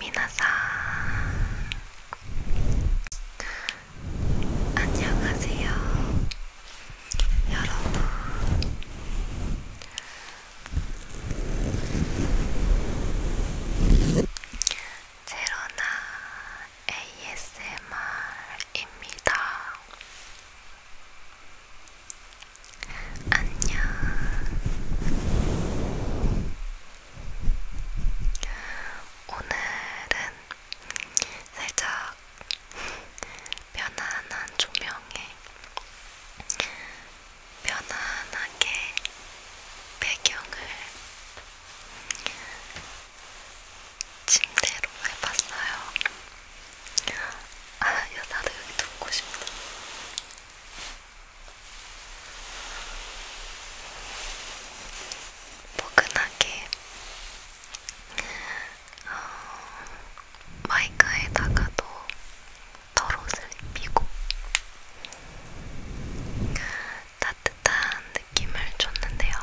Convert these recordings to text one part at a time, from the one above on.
미나사 안녕하세요 여러분 제로나 ASMR입니다. 안녕. 오늘은 살짝 편안한 조명에 편안하게 배경을 침대로 해봤어요. 아, 야, 나도 여기 눕고 싶다. 포근하게 어, 마이크에다가도 덜옷을 입히고 따뜻한 느낌을 줬는데요.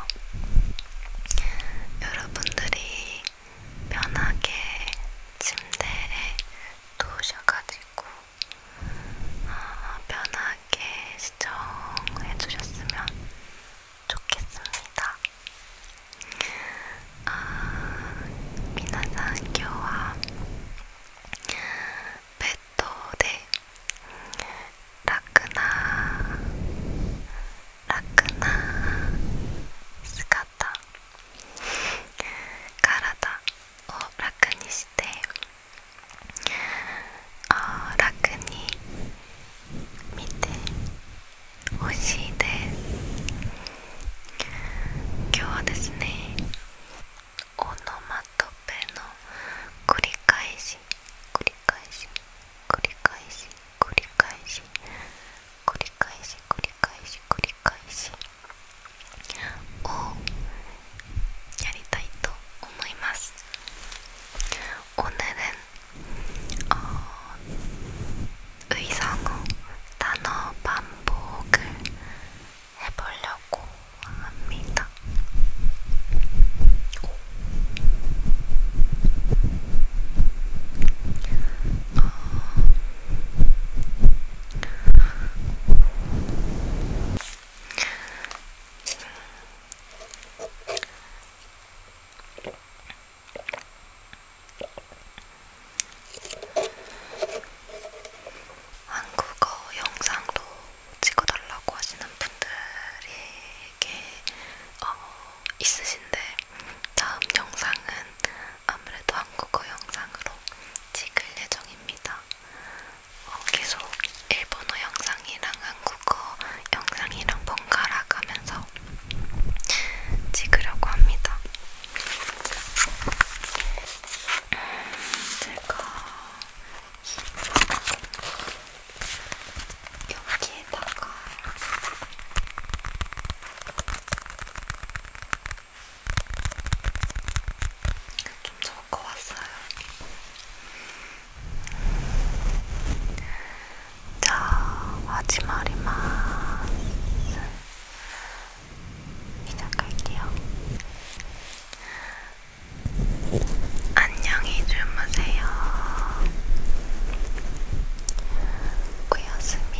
여러분들이 편하게 침대에 누우셔가지고 아, 편하게 시청해주셨으면 좋겠습니다. 아, 미나상 교와 베토데 라크나 라크나 스카타 体を楽にしてあ楽に見てほしいです今日はですねオノマトペの繰り返し繰り返し繰り返し繰り返し繰り返し繰り返し繰り返し繰り返しをやりたいと思います。오늘은어의성어단어반복을해보려고합니다 한국어 영상도 찍어달라고 하시는 분들에게 어, 있으신데 다음 영상은 아무래도 한국어 영상으로 찍을 예정입니다. 어, 계속 일본어 영상이랑 한국어 영상이랑 번갈아 가면서 찍으려고 합니다. 음, 제가 여기에다가 좀 적어 왔어요. 자, 마지막이만 시작할게요. 안녕히 주무세요. 고요스미.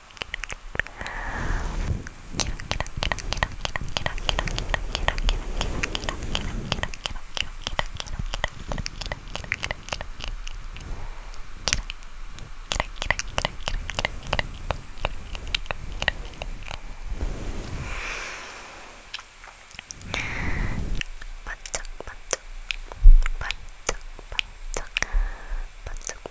반짝반짝 반짝반짝 반짝반짝